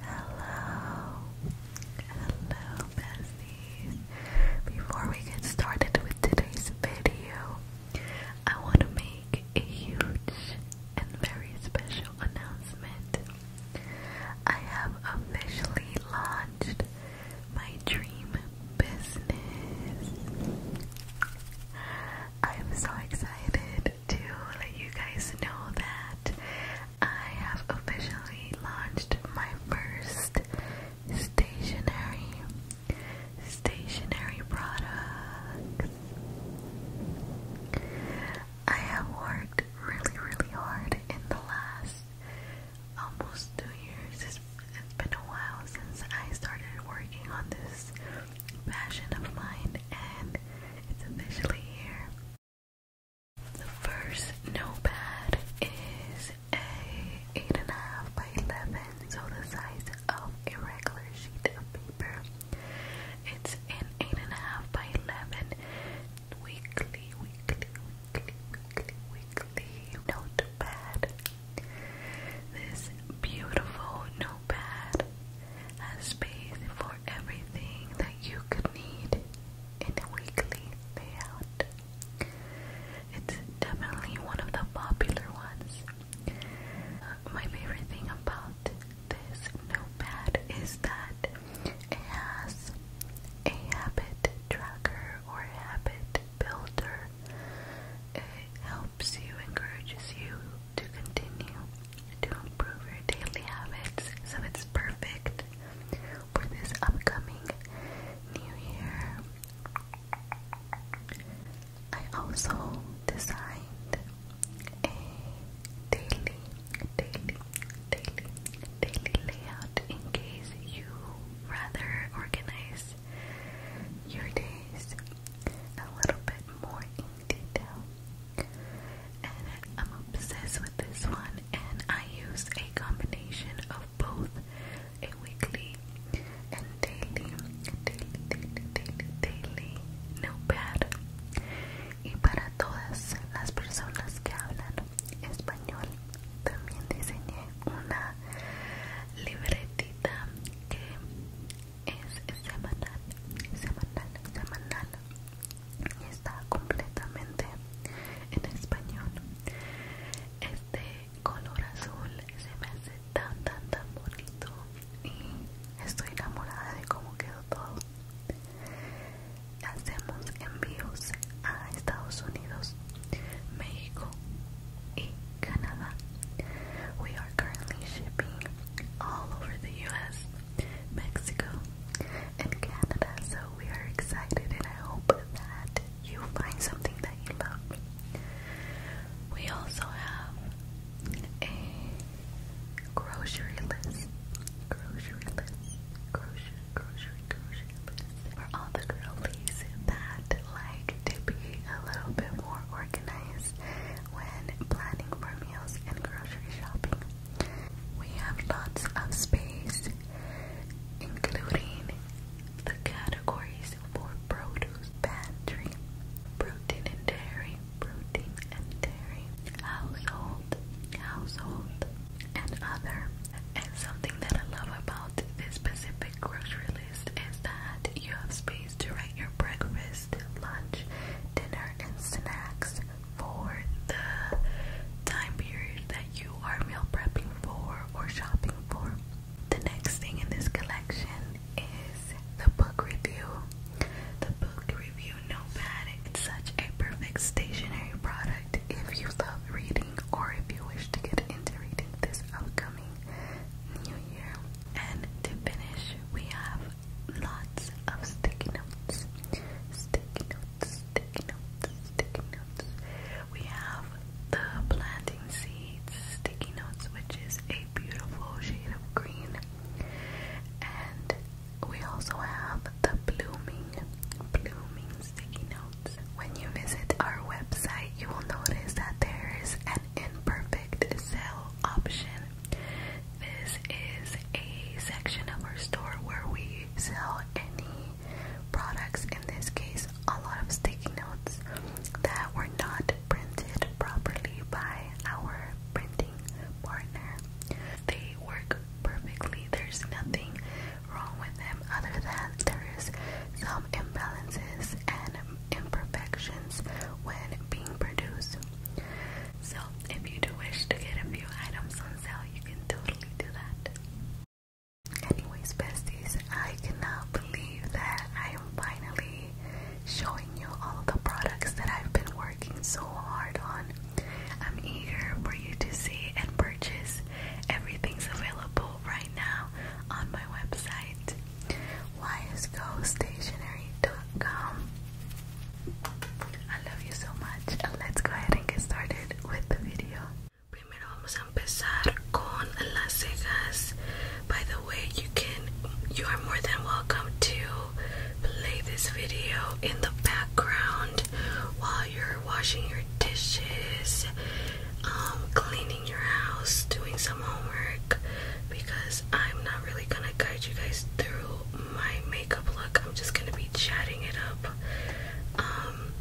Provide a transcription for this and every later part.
Hello, hello, besties. Before we get started with today's video, I want to make a huge and very special announcement. I have officially launched my dream business. I'm so excited to let you guys know that I have officially launched my first stationary stationary products. I have worked really really hard in the last almost two years. it's been a while since I started working on this passion of mine, and it's officially here. The first notepad is a eight and a half by eleven, so the size of a regular sheet of paper. It's an eight and a half by eleven weekly, weekly, weekly, weekly, weekly notepad this beautiful notepad has space for everything that you could need in a weekly layout. It's definitely one of the popular ones. my favorite thing about this notepad is that it has a habit tracker or habit builder better. It helps you, encourages you to continue to improve your daily habits so it's perfect for this upcoming new year. I also designed a daily, daily, daily, daily layout in case you rather organize your days a little bit more in detail. And I'm obsessed with this one, and I use a combination of both a weekly and daily, daily, daily, daily, daily notepad. Y para todas las personas que hablan español, también diseñé una libretita que es semanal, semanal, semanal y está completamente en español. Este color azul se me hace tan, tan, tan bonito y estoy enamorada de cómo quedó todo. Hacemos envíos a Estados Unidos, México y Canada. We are currently shipping all over the US, Mexico, and Canada, so we are excited and I hope that you find something that you love. We also have a grocery list. Grocery list. Grocery, grocery, grocery list. For all the girlies that like to be a little bit more organized when planning for meals and grocery shopping. We have lots of space, including the categories for produce pantry, protein and dairy, protein and dairy, household, household, and other. And something that I love about this specific grocery list is that you have space to write your breakfast lunch, dinner, and snacks for the time period that you are meal prepping for or shopping for. The next thing in this collection is the book review. The book review notepad is such a perfect stationary product if you love reading or if you wish to get into reading this upcoming new year. And to finish, we have lots of sticky notes. Sticky notes, sticky notes, sticky notes. We have the planting seeds sticky notes, which is a beautiful shade of green. And we also have the blooming, blooming sticky notes. When you visit our website, you will notice that there is an imperfect sale option this is a section of our store where we sell any products, in this case, a lot of sticky notes that were not printed properly by our printing partner. They work perfectly, there's nothing wrong with them other than there is some imbalances and imperfections when being produced. So, if you do wish to get a few items on sale, you can totally do that. Anyways, besties, I cannot believe that I am finally showing you all the products that I've been working so hard on. I'm eager for you to see and purchase. Everything's available right now on my website. YSGoStationery.com. I love you so much. Let's go ahead and get started with the video. Primero vamos a empezar con las cejas. By the way, you can you are more than welcome to play this video in the background while you're washing your dishes, um, cleaning your house, doing some homework, because I'm not really gonna guide you guys through my makeup look. I'm just gonna be chatting it up. Um,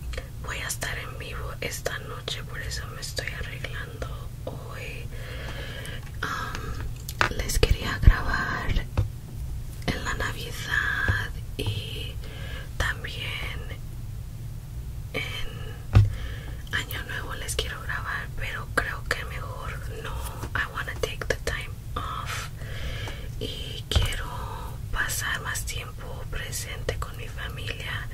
voy a estar en vivo esta noche, por eso me estoy arreglando hoy. Um, les quería grabar en la Navidad y también en Año Nuevo les quiero grabar pero creo que mejor no I want to take the time off y quiero pasar más tiempo presente con mi familia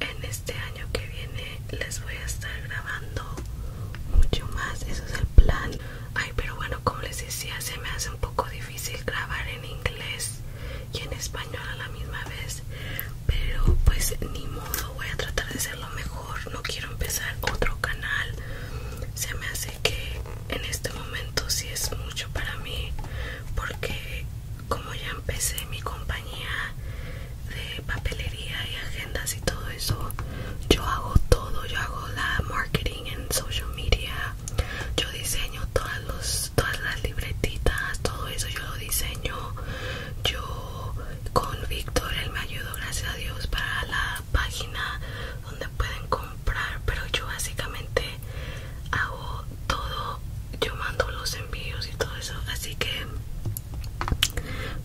en este año que viene les voy a estar grabando mucho más eso es el plan ay pero bueno como les decía se me hace un poco difícil grabar en inglés y en español a la misma vez pero pues ni modo voy a tratar de ser lo mejor no quiero empezar otro canal se me hace que en este momento sí es mucho para mí porque como ya empecé mi compañía de papelería y agendas y todo eso yo hago todo yo hago la marketing en social media yo diseño todas todas las libretitas todo eso yo lo diseño yo con Víctor, él me ayudó, gracias a Dios, para la página donde pueden comprar. Pero yo básicamente hago todo, yo mando los envíos y todo eso. Así que,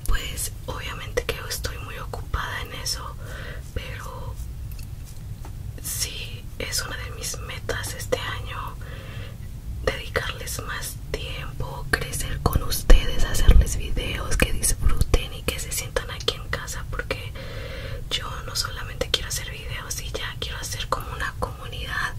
pues, obviamente que yo estoy muy ocupada en eso, pero sí es una de mis metas este año dedicarles más tiempo, crecer con ustedes, hacerles videos que disfruten y que se sientan aquí en casa porque yo no solamente quiero hacer videos y ya quiero hacer como una comunidad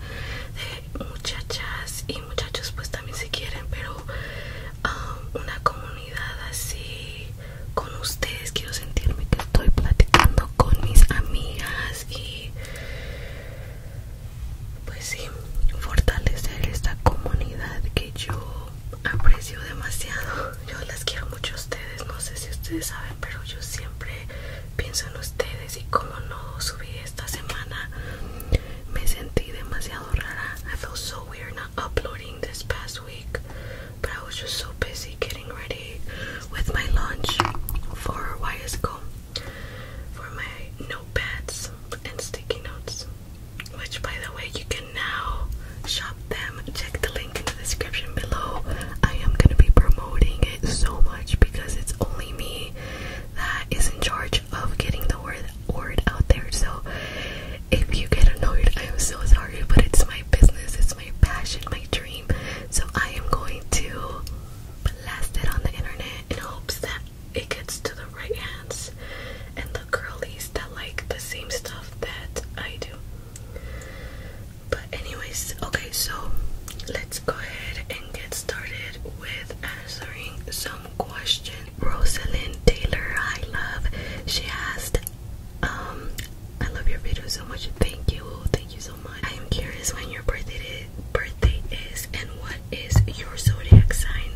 de muchachas y muchachos pues también si quieren pero um, una comunidad así con ustedes quiero sentirme que estoy platicando con mis amigas y pues sí fortalecer esta comunidad que yo aprecio demasiado yo las quiero mucho a ustedes no sé si ustedes saben pero yo siempre pienso en ustedes y como no subí esta semana me sentí demasiado rara I felt so weird not uploading this past week but I was just so busy getting ready with my lunch for YSCO for my notepads and sticky notes which by the way you can now shop them check the link in the description below i am going to be promoting it so much because it's only me that is in charge of getting the word word out there so if you get annoyed i am so sorry but it's my business it's my passion my dream so i am going to blast it on the internet in hopes that it gets to the right hands and the girlies that like the same stuff that I do. But anyways, okay, so let's go ahead and get started with answering some questions. Rosalind Taylor, I love. She asked, um, I love your video so much. Thank you, thank you so much. I am curious when your birthday is, birthday is and what is your zodiac sign?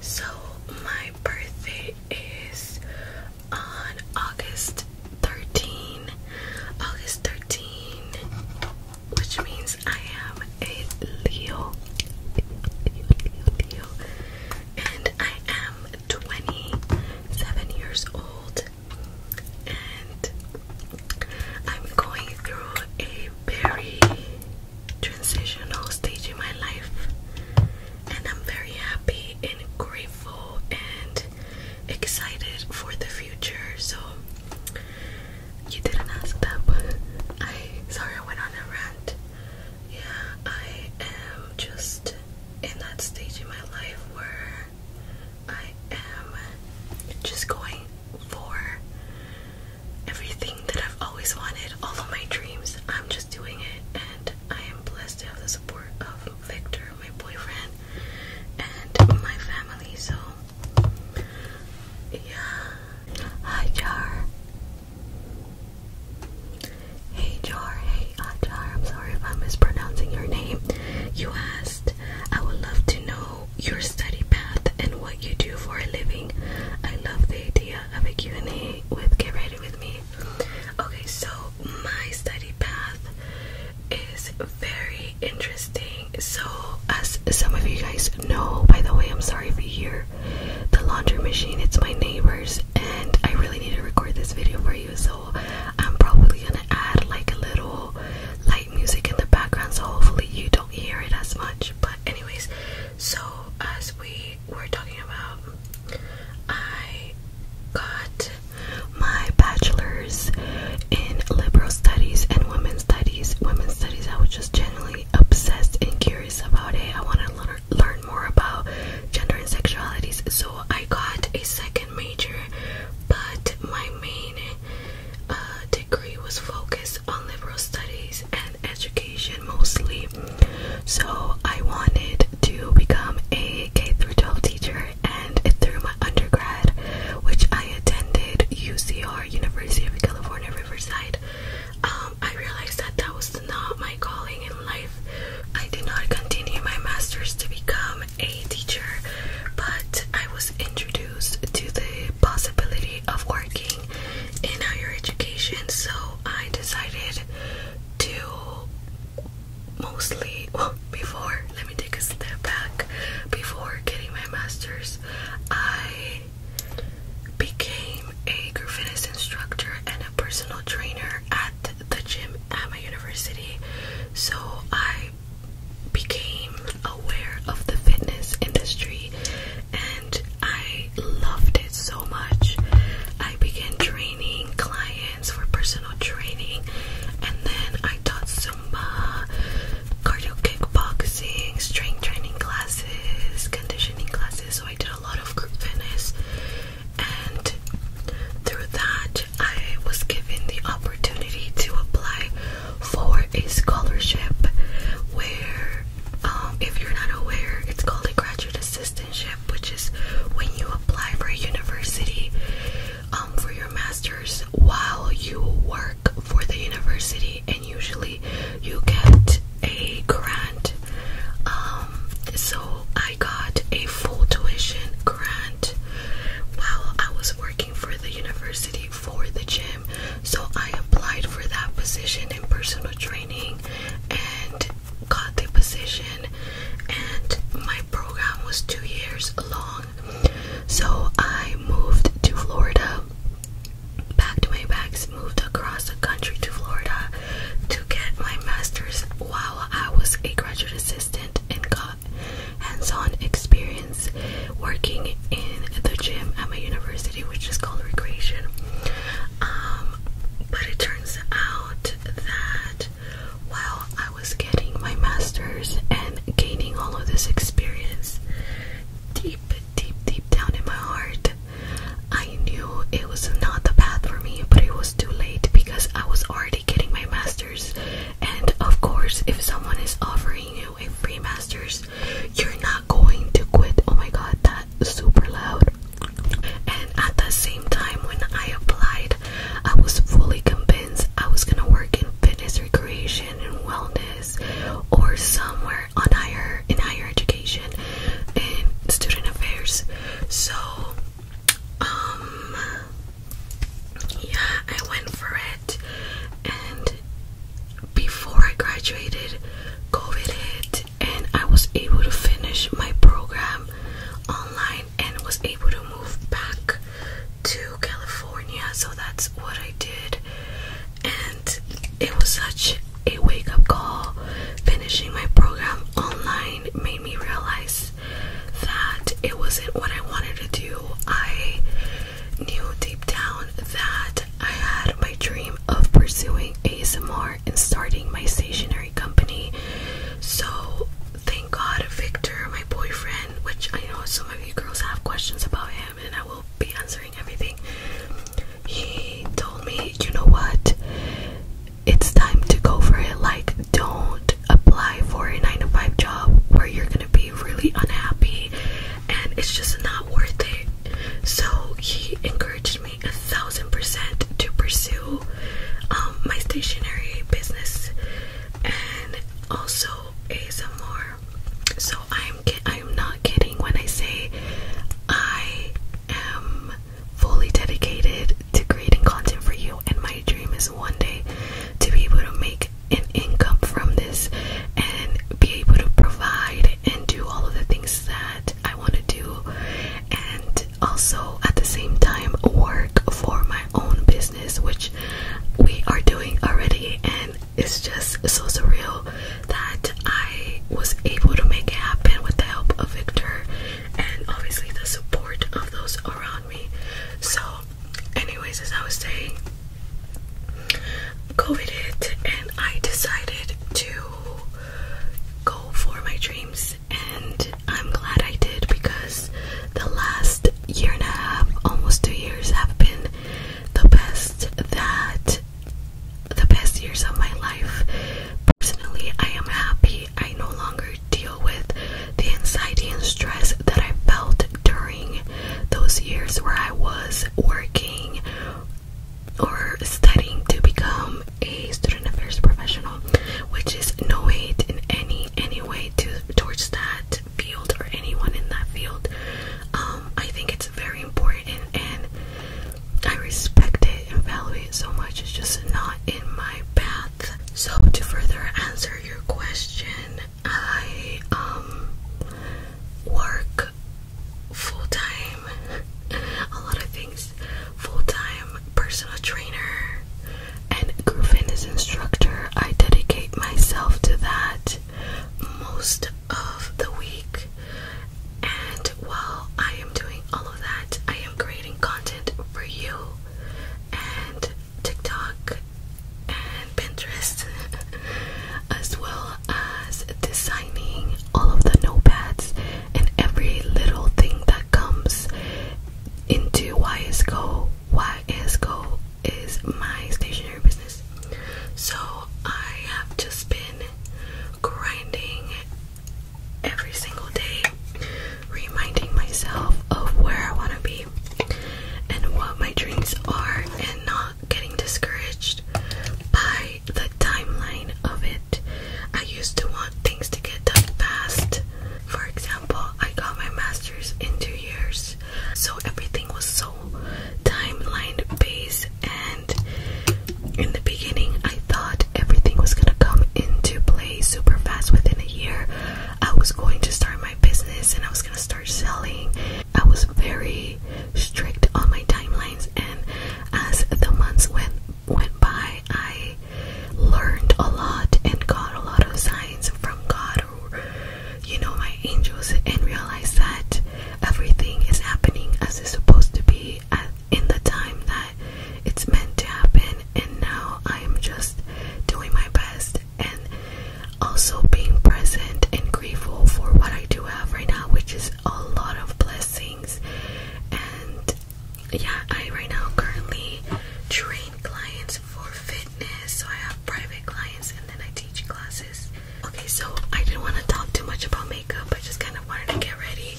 So my birthday is on August thirteenth, August thirteenth, which means I am a Leo. Leo, Leo, Leo. And I am 27 years old. And I'm going through a very transitional stage in my life, and I'm very happy and grateful and excited for the future. So, you didn't ask that, but I sorry I went on a rant. Yeah, I am just in that stage in my life where I am just going for everything that I've always wanted, all of my dreams. I'm just doing it, and I am blessed to have the support of Victor, my boyfriend, and my family. So, yeah. Hi, Jar. Hey, Jar. Hey, Ajar. I'm sorry if I'm mispronouncing your name. You asked. I would love to know your study path and what you do for a living. I love the idea of a Q&A with Get Ready With Me. Okay, so my study path is very interesting. So, as some of you guys know, by the way, I'm sorry for you the laundry machine, it's my neighbor's, and I really need to record this video for you. So, I'm probably gonna add like a little light music in the background, so hopefully, you don't hear it as much. But anyways, so as we were talking about, I got my bachelor's in liberal studies and women's studies. Women's studies, I was just generally obsessed and curious about it. I wanted to learn, more about gender and sexualities, so I got a second major. But my main uh, my degree was focused on liberal studies and education mostly. So I wanted to become a K through 12 teacher and through my undergrad, which I attended UCR, University of California, Riverside, um, I realized that that was not my calling in life. I did not continue my master's to become a teacher, but I was introduced to the possibility of working in higher education, so I decided to mostly, before, let me take a step back, before getting my master's, I became a group fitness instructor and a personal trainer at the gym at my university. So I became aware of the fitness industry I loved it so much. I began training clients for personal training, and then I taught Zumba, cardio kickboxing, strength training classes, conditioning classes. So I did a lot of fitness, and through that, I was given the opportunity to apply for a scholarship where, um, if you're not aware, it's called a graduate assistantship, which is when you apply for a university um, for your master's while you work for the university, and usually you get a grant. Um, so I got a full tuition grant while I was working for the university for the gym. So I applied for that position in personal training and got the position and my program was two years long. So I moved to Florida, packed my bags, moved across the country to Florida to get my master's while I was a graduate assistant and got hands-on experience working in the gym at my university which is called Recreation. Um, but it turns out that while I was getting my master's and gaining all of this experience, deep, deep, deep down in my heart, I knew it was not the path for me, but it was too late because I was already getting my master's. And of course, if someone is offering you a free master's, you're not not going to quit. Oh my god, that super loud. And at the same time, when I applied, I was fully convinced I was gonna work in fitness, recreation, and wellness, or somewhere on higher in higher education and student affairs. So, um, yeah, I went for it, and before I graduated, COVID hit, and I was able to finish my program online and was able to move back to California. So that's what I did, and it was such a wake up call. Finishing my program online made me realize that it wasn't what I wanted to do. I knew deep down that I had my dream of pursuing ASMR and starting my stationery company. So, thank God, Victor, my boyfriend, which I know some of you girls have questions about him, and I will be answering everything. He told me, you know what? It's time to go for it. Like, don't apply for a 9 to 5 job where you're gonna be really unhappy and it's just not worth it. So he encouraged me a thousand percent to pursue um, my stationery business and also ASMR. So I'm I'm not kidding when I say I am fully dedicated to creating content for you, and my dream is one day to be able to make an income from this and be able to provide and do all of the things that I want to do, and also at the same time work for my own business, which we are doing already. And it's just so surreal that I was able to make it happen with the help of Victor and obviously the support of those around me. So, anyways, as I was saying, COVID and I decided to go for my dreams, and I'm glad I did because the last year and a half, almost two years, have been the best that the best years of my life. Personally, I am happy. I no longer deal with the anxiety and stress that I felt during those years where I was working or studying to become a student affairs professional, which is no hate in any any way to towards that field or anyone in that field. Um, I think it's very important and I respect it and value it so much. It's just not in my path. So to further answer your question, I um work full time, a lot of things, full time personal trainer and group fitness instructor. I dedicate myself to that most of the week, and while I am doing all of that, I am creating content for you and TikTok and Pinterest as well as designing all of the notepads and every little thing that comes into YSCO. YSCO is my stationery business. So I have just been grinding every single day, reminding myself of where I want to be and what my dreams are, and not getting discouraged by the timeline of it. I used to want things to get done fast. For example, I got my master's in two years, so everything was so timeline based. And in the beginning, I thought everything was gonna come into play super fast within a year. I was going to start my business and I was gonna start selling I was very strict on my timelines, and as the months went went by, I learned a lot and got a lot of signs from God or you know my angels, and realized that everything is happening as it's supposed to be at, in the time that it's meant to happen. And now I am just doing my best and also being present and grateful for what I do have right now, which is a lot of blessings and yeah I right now currently train clients for fitness so I have private clients and then I teach classes okay so I didn't want to talk too much about makeup I just kind of wanted to get ready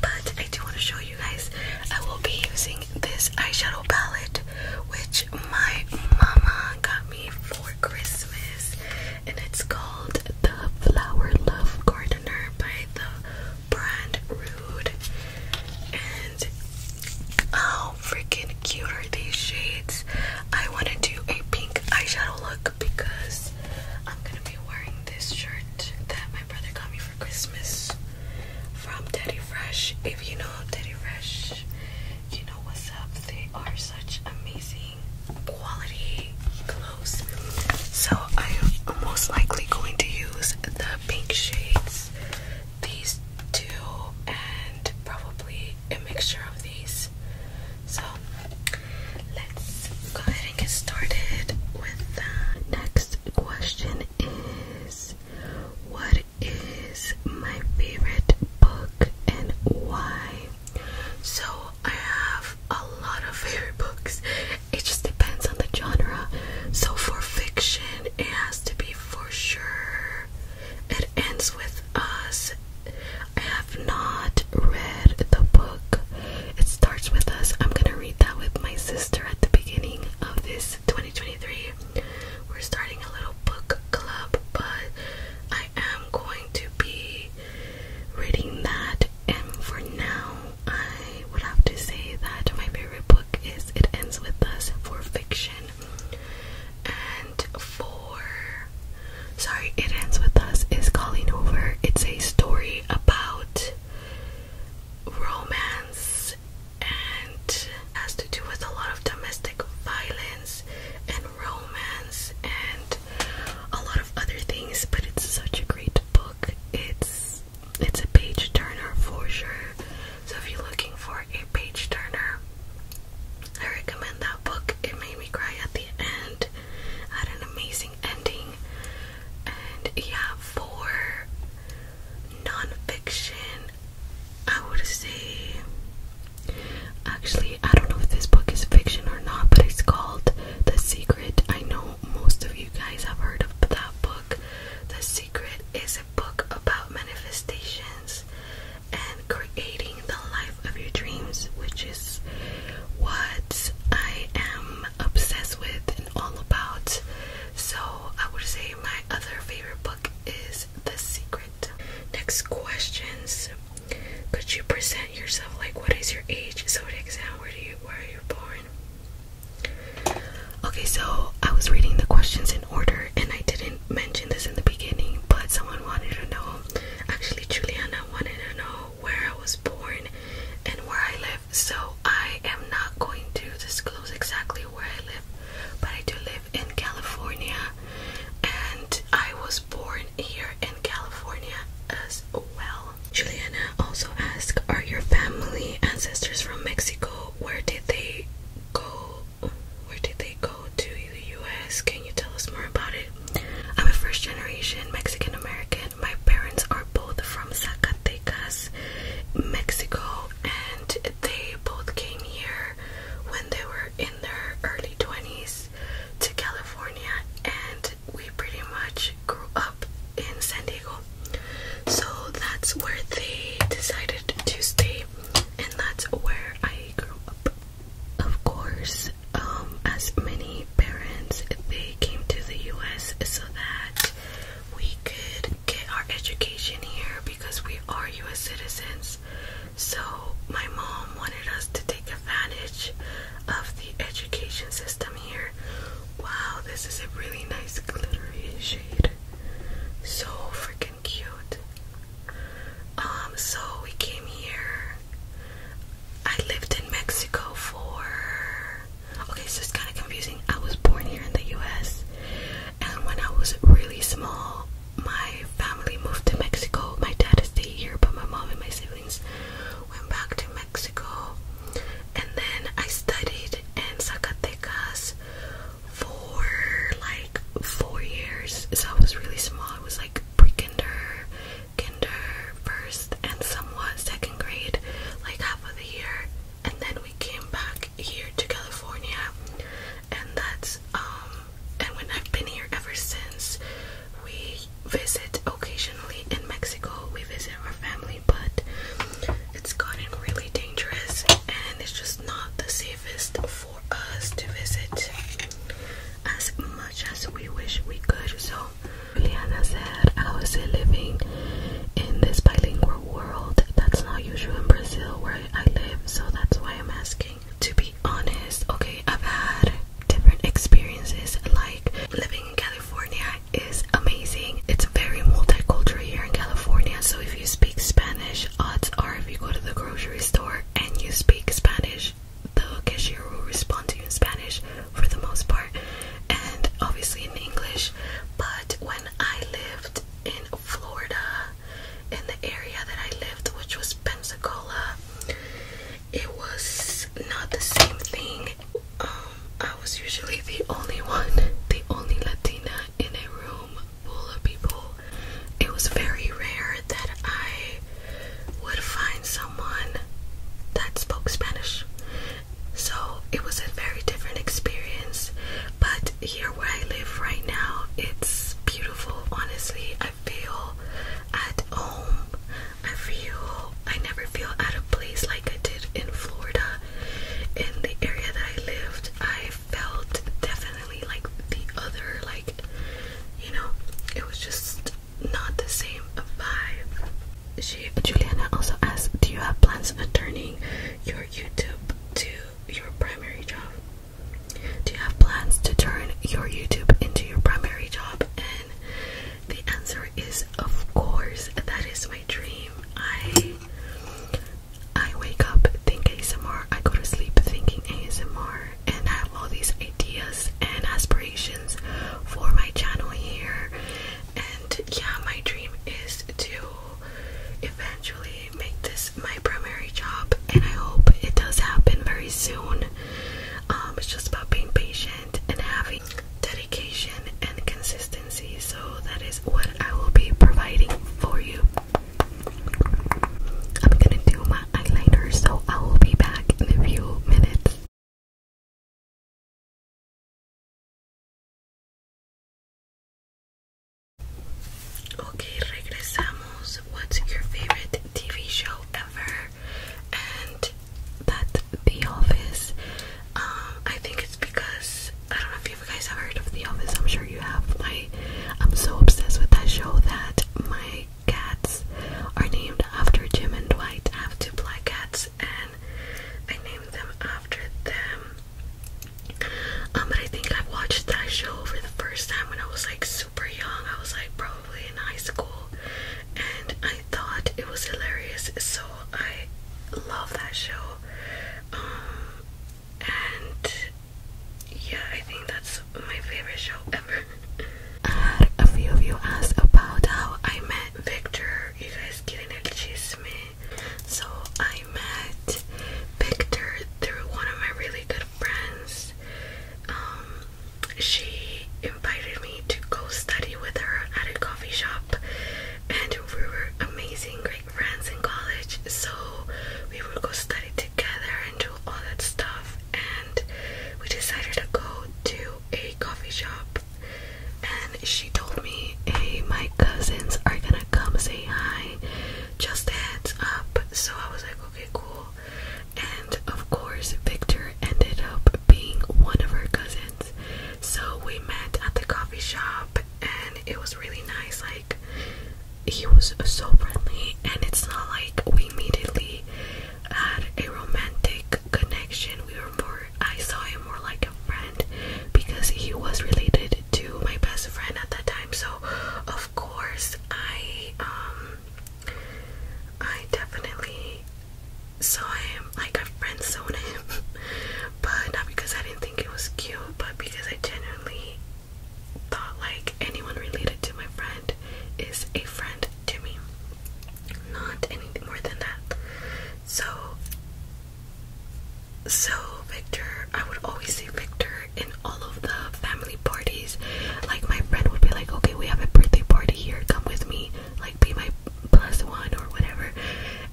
but I do want to show you guys I will be using this eyeshadow palette which my mama got me for Christmas and it's called the Flower Love Gardener by the brand Rude. And how freaking cute are these shades? I want to do a pink eyeshadow look because I'm gonna be wearing this shirt that my brother got me for Christmas from Teddy Fresh. If you know Teddy Fresh, you know what's up. They are such amazing quality, clothes. So I am most likely going to use the pink shades, these two, and probably a mixture of these. So let's go ahead and get started with the next question is what is my favorite book and why? So I have a lot of favorite books. It just depends on the genre. So for fiction, it has to be for sure. It ends with us. I have not read the book. It starts with us. I'm gonna read that with my sister at the beginning of this 2023. We're starting a little book club, but I am going to be reading that. And for now, I would have to say that my favorite book is It Ends With Us for fiction. And for. Sorry, It Ends With Us is Calling Over. It's a story about romance and has to do with a lot of domestic violence and romance and a lot of other things, but it's such a great book. It's it's a page turner for sure. So if you're looking for a page turner, I recommend that book. It made me cry at the end. Had an amazing ending. And yeah, for nonfiction, I would say Actually, I don't know if this book is fiction or not, but it's called The Secret. I know most of you guys have heard of that book. The Secret is a book about manifestations and creating the life of your dreams, which is what I am obsessed with and all about. So, I would say my other favorite book is The Secret. Next questions could you present yourself like what is your age, zodiac so sound, where do you where are you born? Okay, so I was reading the questions in order and I didn't mention this in the beginning, but someone wanted to know actually Juliana wanted to know where I was born and where I live. So I am not going to disclose exactly where I live, but I do live in California and I was born here in California as well. Juliana also ask: Are your family ancestors from Mexico? Where did they go? Where did they go to the US? Can you tell us more about it? I'm a first generation Mexican American. My parents are both from Zacatecas, Mexico, and they both came here when they were in their early 20s to California and we pretty much grew up in San Diego. So that's where they decided to stay, and that's where I grew up. Of course, um, as many parents, they came to the US so that we could get our education here because we are US citizens. So, my mom wanted us to take advantage of the education system here. Wow, this is a really nice glittery shade. So freaking cute. Um, so we came here. I lived in Mexico for okay, so it's kind of confusing. I was born here in the US, and when I was really small, my family moved to Mexico. My dad stayed here, but my mom and my sister feelings. Went back to Mexico and then I studied in Zacatecas for like four years. So I was really small. It was like pre-kinder, kinder first and somewhat second grade, like half of the year. And then we came back here to California and that's um and when I've been here ever since we visit occasionally in Mexico. We visit our family, but it's gotten really dangerous and it's just not the safest for us to visit as much as we wish we could. So, Juliana said, I was living in this bilingual world that's not usual in Brazil where I live, so that's why I'm asking to be honest, okay, I've had different experiences like living in California is amazing. It's very multicultural here in California, so if you speak Spanish, odds are if you go to the grocery store and you speak Spanish, the cashier will respond to you in Spanish for the most part, and obviously in English. But when I lived in Florida, in the area that I lived, which was Pensacola, it was not the same thing. Um, I was usually the only one, the only Latina in a room full of people. It was very rare that I would find someone that spoke Spanish. So it was a very different experience. But here where I live right now, it's beautiful. Honestly, feel at home. I feel I never feel out of place like I did in Florida. In the area that I lived, I felt definitely like the other, like you know, it was just not the same vibe. She Juliana also asked, Do you have plans of turning your YouTube to your primary job? Do you have plans to turn your YouTube into your primary job? The answer is of course. That is my dream. I I wake up thinking ASMR, I go to sleep thinking ASMR, and I have all these ideas and aspirations for my channel here. And yeah, my dream is to eventually make this my primary job, and I hope it does happen very soon. Um, it's just about being patient and having dedication and consistency. So that is what I will be providing for you. I'm gonna do my eyeliner, so I will be back in a few minutes. Okay, regresamos. What's your favorite TV show ever? and that's The Office. Um, I think it's because I don't know if you guys have heard of The Office. I'm sure you have. My I'm so obsessed with that show that my cats are named after Jim and Dwight. I have two black cats, and I named them after them. Um, but I think I watched that show for the first time when I was like super young. I was like probably in high school, and I thought it was hilarious, so I love that show. Um, and yeah, I think that's my favorite show ever. I uh, had a few of you asked about how I met Victor. You guys getting el chisme? So I met Victor through one of my really good friends. Um, she invited me to go study with her at a coffee shop, and we were amazing, great friends in college. So we would go study together and do all that stuff. And we decided to go to a coffee shop, and she told me, "Hey, my cousins are gonna come say hi. Just a heads up." So I was like, "Okay, cool." And of course, Victor ended up being one of her cousins. So we met at the coffee shop, and it was really nice. Like, he was so friendly, and it's not like we immediately had a romantic connection. We were more, I saw him more like a friend because he was related to my best friend at that time. So, of course, I, um, I definitely saw him, like a friend zoned him, but not because I didn't think it was cute, but because I genuinely thought like anyone related to my friend is a friend to me, not anything more than that. So, so Victor, I would always say Victor in all of the family parties like my friend would be like, okay, we have a birthday party here, come with me, like be my plus one or whatever.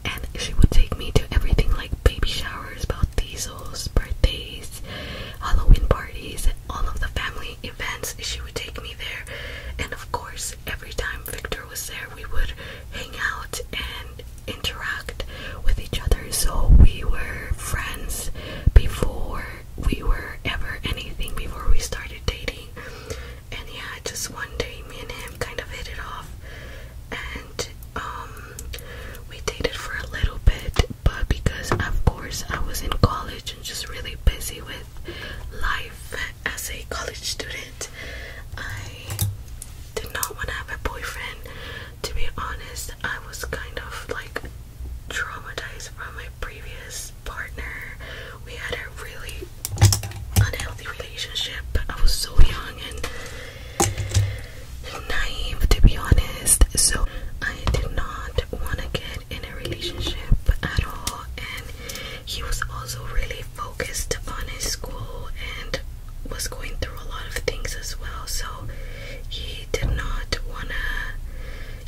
And she would take me to everything like baby showers, bautismos, birthdays, Halloween parties, all of the family events. She would take me there. And of course, every time Victor was there, we would hang out and interact with each other. So we were friends before we were ever anything, before we started dating. And yeah, just one day me and him kind of hit it off and um we dated for a little bit but because of course I was in college and just really busy with life as a college student I did not want to have a boyfriend to be honest I was kind of like traumatized from my previous partner. We had a really unhealthy relationship. I was so young and naive, to be honest. So I did not want to get in a relationship at all. And he was also really focused on his school and was going through a lot of things as well. So he did not want to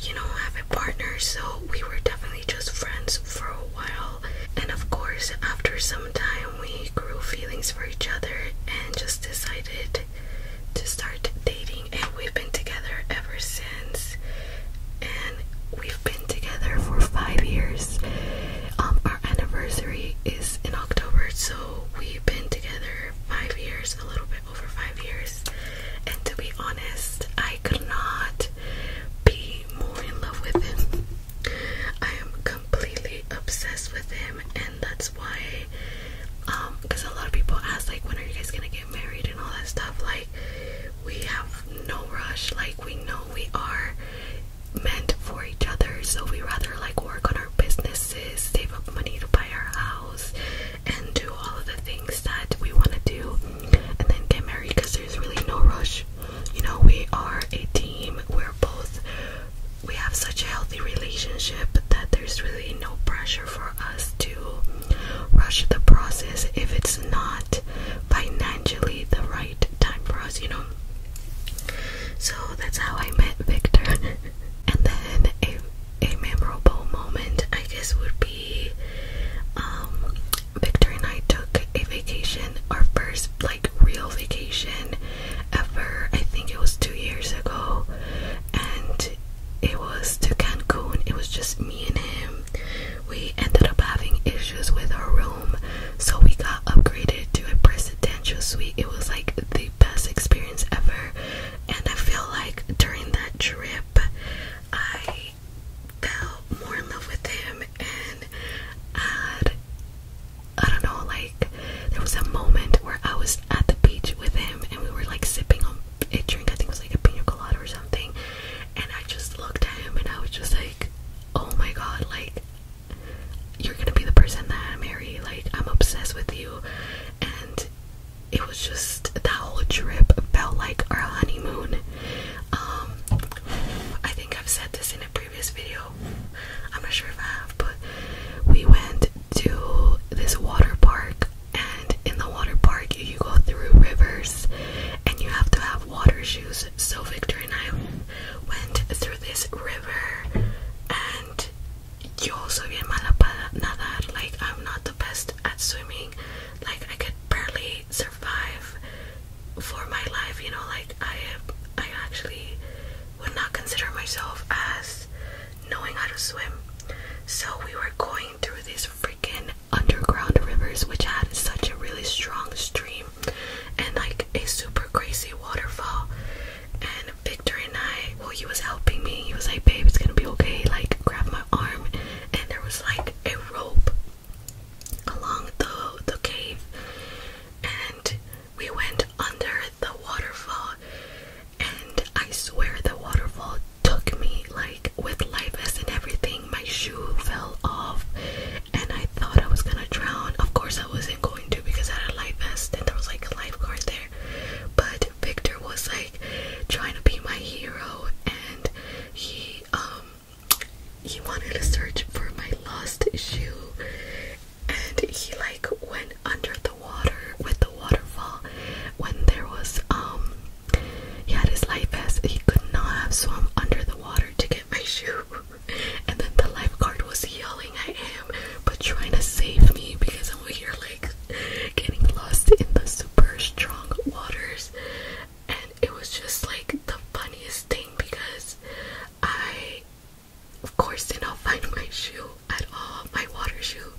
you know, have a partner, so we were definitely just friends for a while. And of course, after some time, we grew feelings for each other and just decided to start dating. And we've been together ever since. And we've been together for five years. Um, our anniversary is in October, so we've been together five years, a little bit over five years. And to be honest, I could not be more in love with him. I am completely obsessed with him, and that's why, um, because a lot of people ask, like, when are you guys gonna get married and all that stuff. Like, we have no rush, like, we know we are meant for each other, so we rather like work on our businesses, save up money to buy our house, and do all of the things that we want to do and then get married because there's really no rush. You know, we are a team, we're both, we have such a healthy relationship that there's really no pressure for us to rush the process if it's not financially the right time for us, you know. So that's how I met Victor. and then a, a memorable moment, I guess, would be um, Victor and I took a vacation, our first like real vacation ever. I think it was two years ago, and it was to Cancun. It was just me and him. We ended up having issues with our room, so we got upgraded to a presidential suite. It was like the best experience ever, and I feel like during that trip, I fell more in love with him and had I don't know, like there was a moment where I was at the beach with him and we were like sipping on a drink, I think it was like a pina colada or something, and I just looked at him and I was just like, Oh my god, like you're gonna be the person that I marry, like I'm obsessed with you and it was just that whole trip felt like our honeymoon. Um, I think I've said this in a previous video. I'm not sure if I have, but we went to this water park, and in the water park, you go through rivers, and you have to have water shoes. So Victor and I went through this river, and you also get mala Like I'm not the best at swimming. Like I could barely survive for my life, you know, like I am I actually would not consider myself as knowing how to swim. So we were going through this freaking underground rivers which had such a really strong stream and like a super crazy waterfall. And Victor and I, well, he was helping me. He was like, babe, it's gonna be okay. Like, grabbed my arm. And there was like a rope along the the cave and we went under the waterfall and I swear the waterfall took me like with life vest and everything my shoe fell off and I thought I was gonna drown. Of course I wasn't going to because I had a life vest and there was like a lifeguard there. But Victor was like trying to be my hero and he um he wanted to search for my lost shoe and he like went under the water with the waterfall when there was um he had his life vest he could not have swum under the water to get my shoe and then the lifeguard was yelling at him but trying to save me because I'm here like getting lost in the super strong waters it was just like the funniest thing because I, of course, did not find my shoe at all, my water shoe.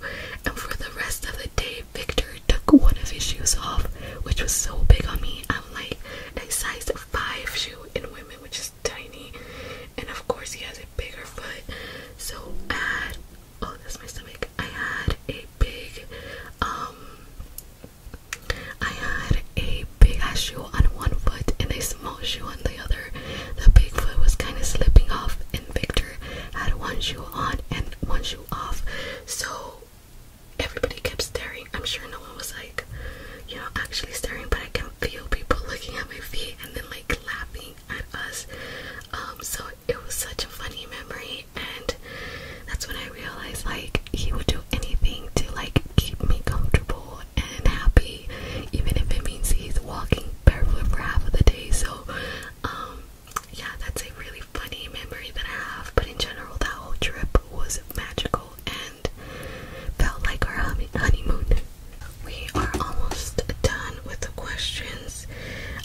And for the rest of the day, Victor took one of his shoes off, which was so big on me. I'm like a size 5 shoe in women, which is tiny. And of course, he has a bigger foot. So I had, oh, that's my stomach. I had a big, um, I had a big ass shoe on one foot and a small shoe on the other. The big foot was kind of slipping off, and Victor had one shoe on and one shoe off. So everybody kept staring. I'm sure no one was like, you know, actually staring, but I can feel people looking at my feet and then like laughing at us. Um, so it was such a funny memory, and that's when I realized like he would do anything to like keep me comfortable and happy, even if it means he's walking barefoot for half of the day. So, um, yeah, that's a really funny memory that I have. But in general, that whole trip was magical and felt like our honeymoon. We are almost done with the questions.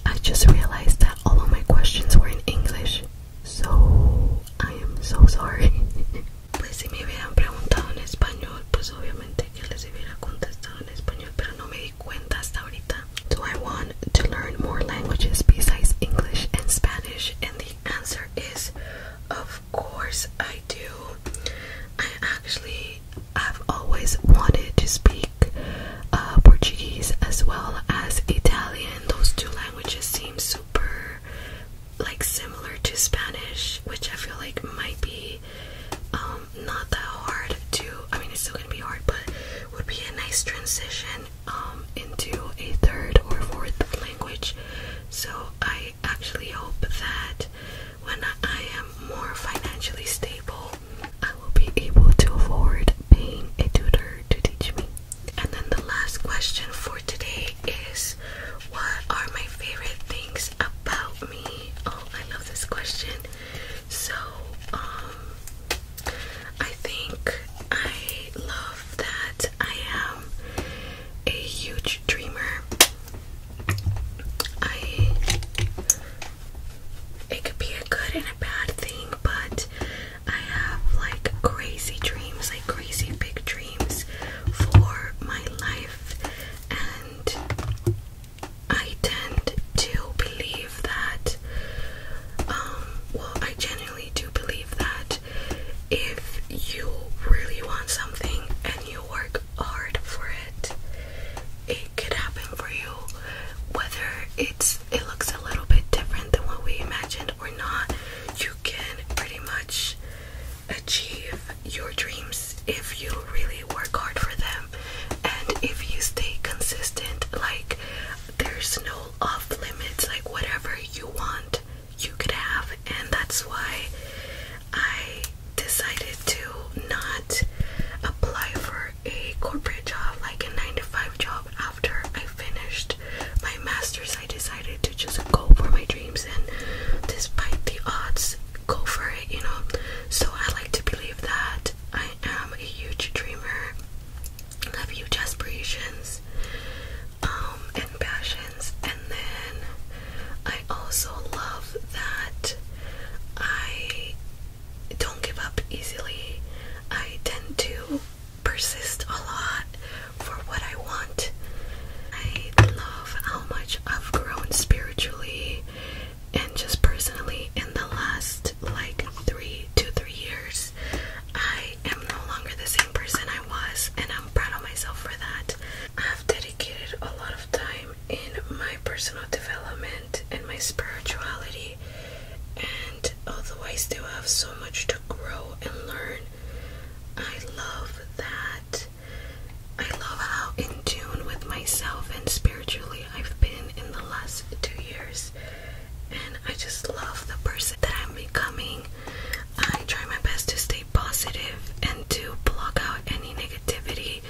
I just realized that all of my questions were in English. So, I am so sorry. pues si me hubieran preguntado en español, pues obviamente que les hubiera contestado en español, pero no me di cuenta hasta ahorita. So I want to learn more languages besides English and Spanish, and the answer is, of course I do. I actually, have always wanted to speak uh, Portuguese as well as Italian. Those two languages seem super like similar to Spanish, which I feel like might be um, not that hard to. I mean, it's still gonna be hard, but would be a nice transition um, into a third or fourth language. So I actually hope that when I am more financially stable, I will be able to afford paying a tutor to teach me. And then the last question for today is What are my favorite things about me? Oh, I love this question. So, um, I think I love that I am a huge dreamer. I. It could be a good and a bad thing, but I have like crazy dreams, like crazy big dreams for my life, and I tend to believe that. Um, well, I genuinely do believe that if you really want something and you work hard for it, it could happen for you. Whether it's it looks a little bit different than what we imagined or not. You can pretty much achieve your dreams if you really work hard for them and if you stay consistent like there's no off limits like whatever you want you could have and that's why I decided to not apply for a corporate job like a 9 to 5 job after I finished my master's, I decided to just go for my dreams and, despite the odds, go for it, you know. So I like to believe that I am a huge dreamer, I have huge aspirations um, and passions, and then I also love that I don't give up easily. I tend to persist a lot for what I want. I love how much I've grown spiritually and just personally in the last like three to three years. I am no longer the same person I was, and I'm proud of myself for that. I've dedicated a lot of time in my personal development and my spirituality and although I still have so much to grow and learn, I love that. I love how in tune with myself and spiritually I've been in the last two years, and I just love the person that I'm becoming. I try my best to stay positive and to block out any negativity,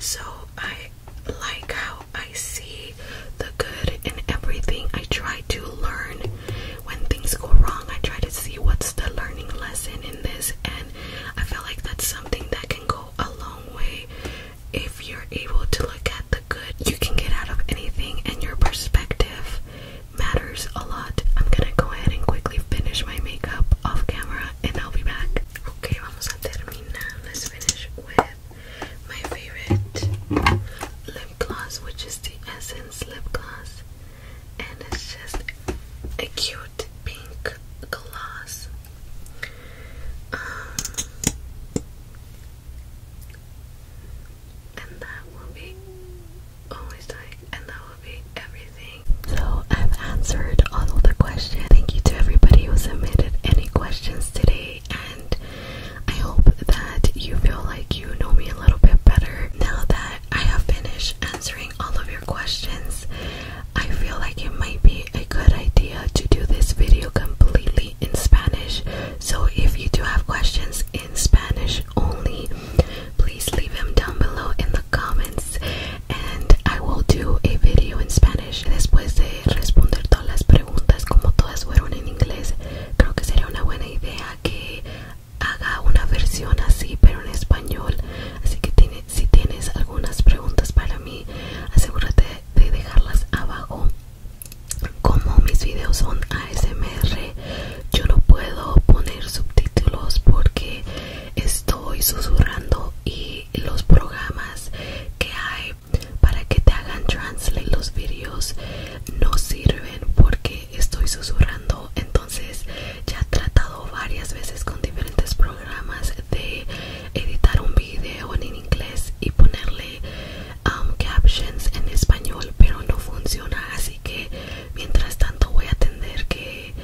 so I like how I see the good in everything. I try to learn when things go wrong. I try to see what's the learning lesson in this, and I feel like that's something that can go a long way if you're able to look at the good you can get out of anything, and your perspective matters a lot. I'm gonna go ahead and quickly finish my makeup off camera, and I'll be back. Okay, vamos a terminar. Let's finish with my favorite lip gloss, which is the Essence lip gloss, and it's just a cute pink gloss. Um, and that will be always and that will be everything. So I've answered all the questions. Thank you to everybody who submitted any questions today and I hope that you feel like you know me a little bit better now that I have finished answering all of your questions. I feel like it might be a good idea to do this video completely in Spanish. So, if you do have questions in Spanish only, please leave them down below in the comments and I will do a video in Spanish. Después de responder todas las preguntas, como todas fueron en inglés, creo que sería una buena idea que haga una versión así pero en español así que si tienes algunas preguntas para mí asegúrate de dejarlas abajo como mis videos son ASMR yo no puedo poner subtítulos porque estoy susurrando y los programas que hay para que te hagan translate los vídeos no sirven porque estoy susurrando entonces ya he tratado varias veces con diferentes programas de editar un video en inglés y ponerle um, captions en español pero no funciona así que mientras tanto voy a tener que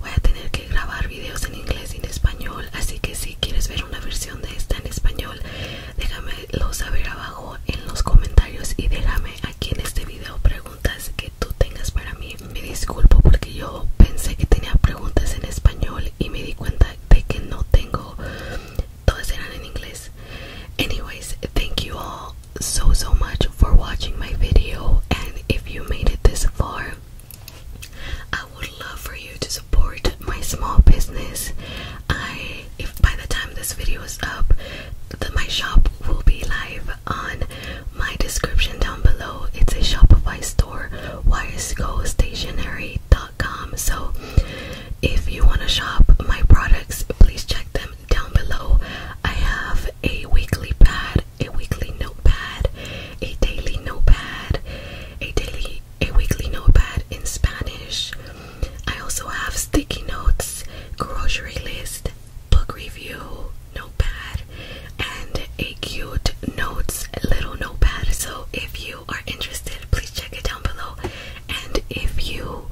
voy a tener que grabar videos en inglés y en español así que si quieres ver una versión de esta en español déjamelo saber abajo en los comentarios y déjame aquí en este video preguntas que tú tengas para mí me disculpo porque yo pensé que tenía preguntas en español y me di cuenta de que no tengo todas eran en inglés anyways thank you all so so much for watching my video and if you made it this far I would love for you to support my small business I if by the time this video is up, the, my shop will be live on my description down below. It's a Shopify store, wirescostationery.com. So if you want to shop my products, please check them down below. I have a weekly pad, a weekly notepad, a daily notepad, a daily a weekly notepad in Spanish, I also have sticky notes, grocery list, book review, notepad, and a cute notes little notepad. So if you are interested, please check it down below. And if you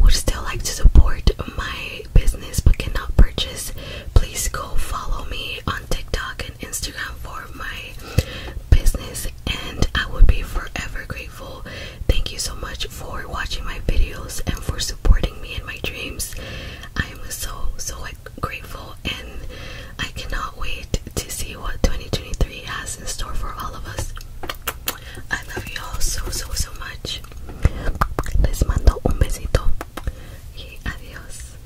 would still like to support my business but cannot purchase, please go follow me on TikTok and Instagram for my business and I would be forever grateful. Thank you so much for watching my videos and for supporting me in my dreams. I am so so grateful and I cannot wait to see what 2023 has in store for all of us. I love you all so so so much. Les mando un besito. Y adios.